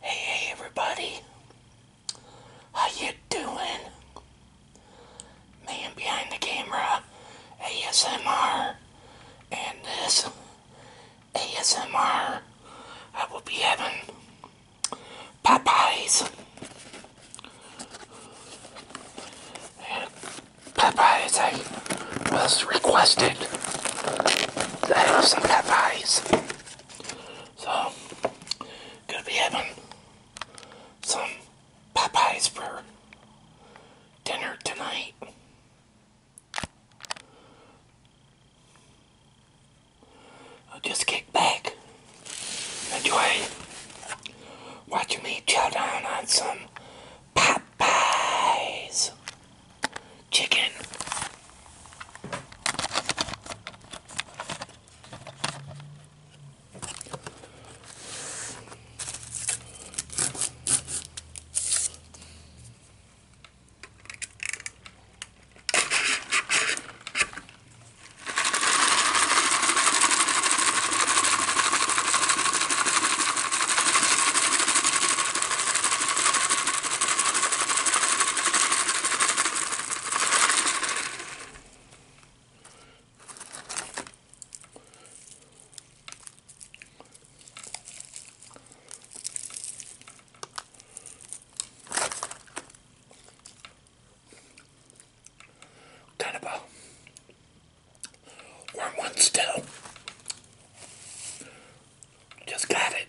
Hey, hey everybody. How you doing? Man behind the camera ASMR and this ASMR I will be having Popeyes and was requested to have some papayas, So, gonna be having some papayas for dinner tonight. I'll just kick back, enjoy watching me chow down on some papayas chicken. Kind of a warm one still. Just got it.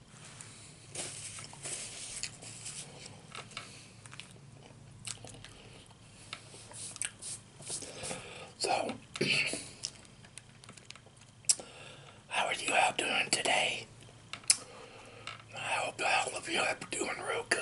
So, how are you all doing today? I hope all of you are doing real good.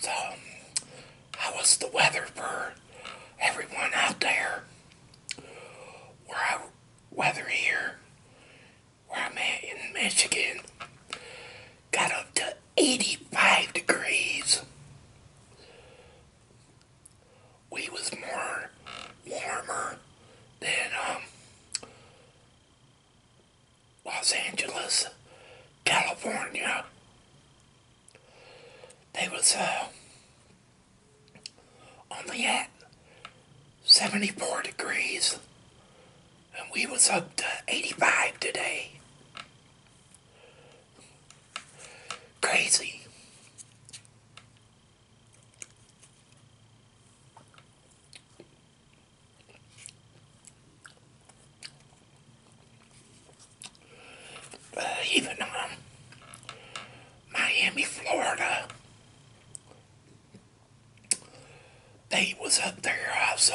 So, how was the weather for everyone out there? Where I weather here, where I'm at in Michigan, got up to 85 degrees. We was more warmer than um, Los Angeles, California. They was uh, only at 74 degrees and we was up to 85 today. Crazy. Uh, even on um, Miami, Florida, they was up there also.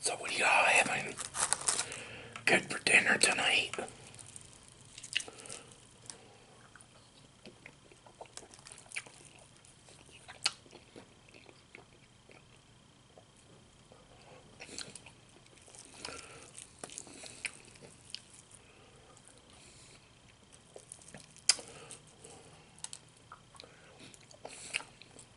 So what y'all having good for dinner tonight?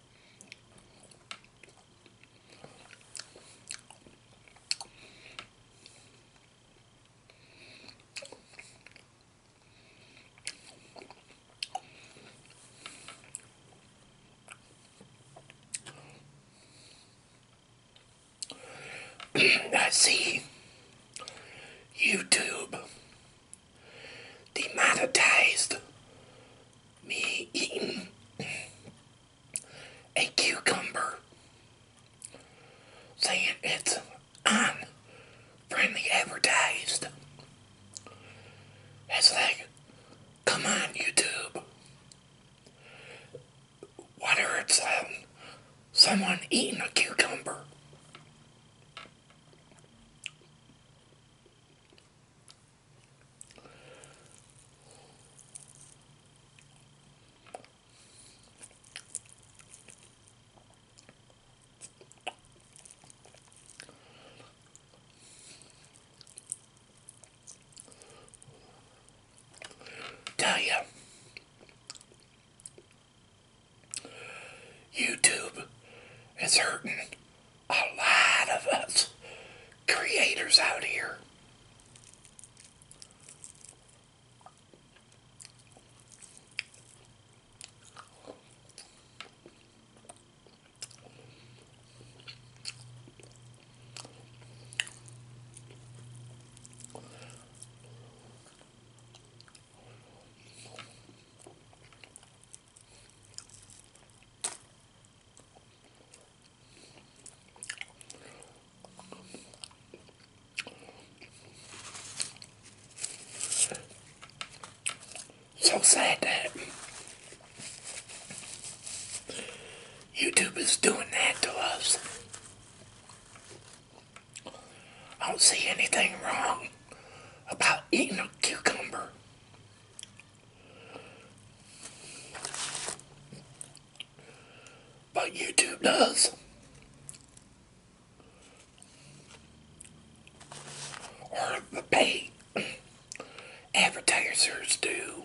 I see YouTube demonetized me eating a cucumber, saying it's unfriendly advertised. It's like, come on, YouTube. Whether it's um, someone eating a cucumber Tell you, YouTube is hurting a lot of us creators out here. So sad that YouTube is doing that to us. I don't see anything wrong about eating a cucumber. But YouTube does. Or the paid advertisers do.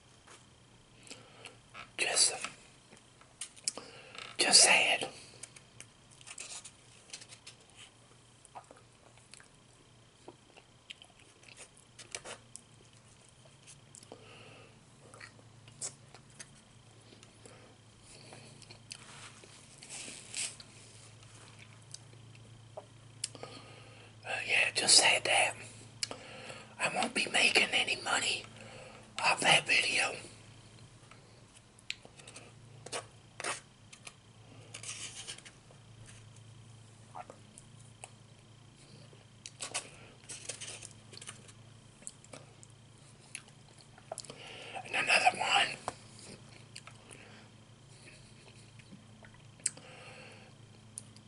Just, just it yeah, just had that. I won't be making any money off that video. And another one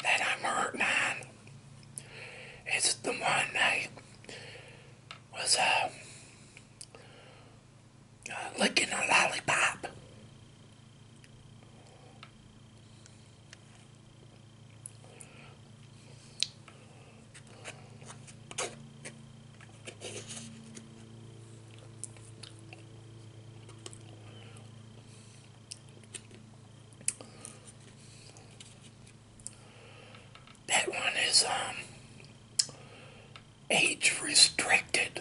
that I'm hurting on is the one that was um, uh, uh, a lollipop. That one is um, age restricted.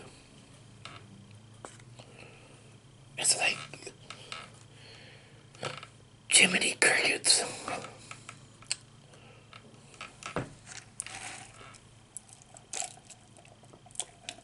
It's like Jiminy Crickets.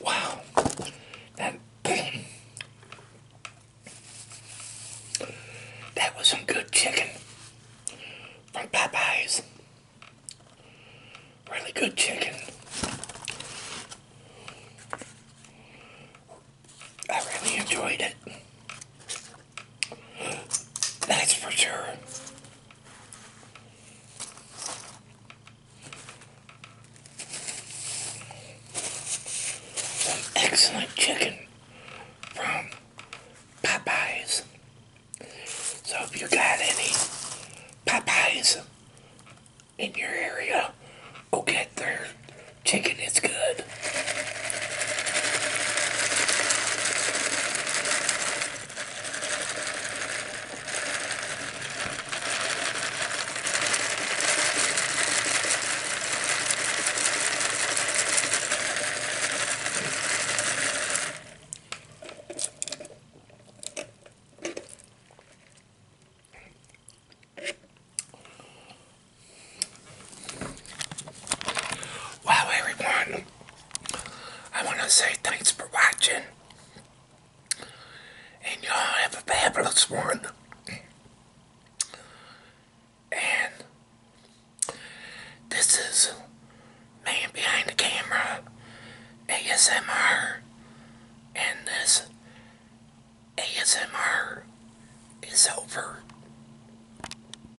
Wow. That, that was some good chicken from Popeyes. Really good chicken. I really enjoyed it. That's for sure. excellent chicken from Popeyes. So if you got any Popeyes in your area, go get their chicken. It's good. Wow, everyone, I want to say thanks for watching. And y'all have a fabulous one. And this is Man Behind the Camera ASMR. And this ASMR is over.